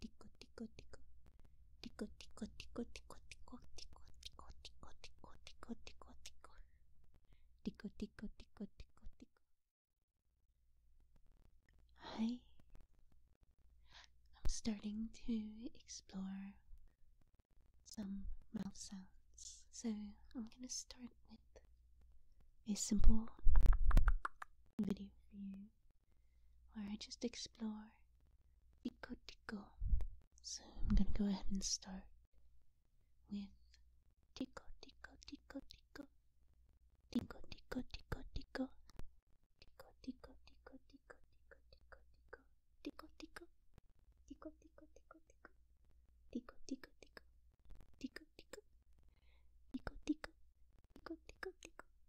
tico I'm starting to explore some mouth sounds so I'm gonna start with a simple video for you where I just explore. Tico tico. So I'm gonna go ahead and start with tico tico tico tico. Tico tico tico tico. Tico tico tico tico tico tico tico. Tico tico. Tico tico tico tico. Tico tico tico. Tico tico. Tico tico. Tico tico tico.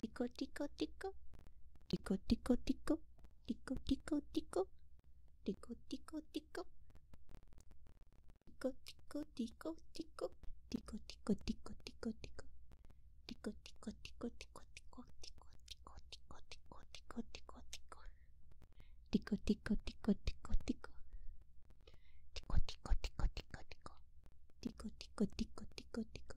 Tico, tico, tico. Tico, tico, tico. Tico, tico, tico. Tico, tico, tico. Tico, tico, tico, tico. Tico, tico, tico, tico, tico. Tico, tico, tico, tico, tico, tico, tico, tico, tico, tico, tico, tico. Tico, tico, tico, tico, tico. Tico, tico, tico, tico, tico. Tico, tico, tico, tico, tico.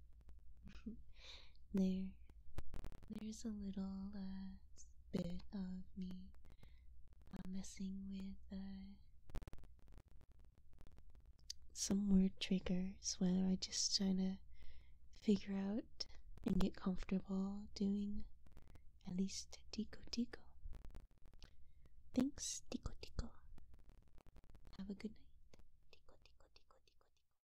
there, there's a little uh, bit of me uh, messing with uh, some word triggers where I am just trying to figure out and get comfortable doing at least tico tico. Thanks, tico tico. Have a good night. Tico tico tico tico tico.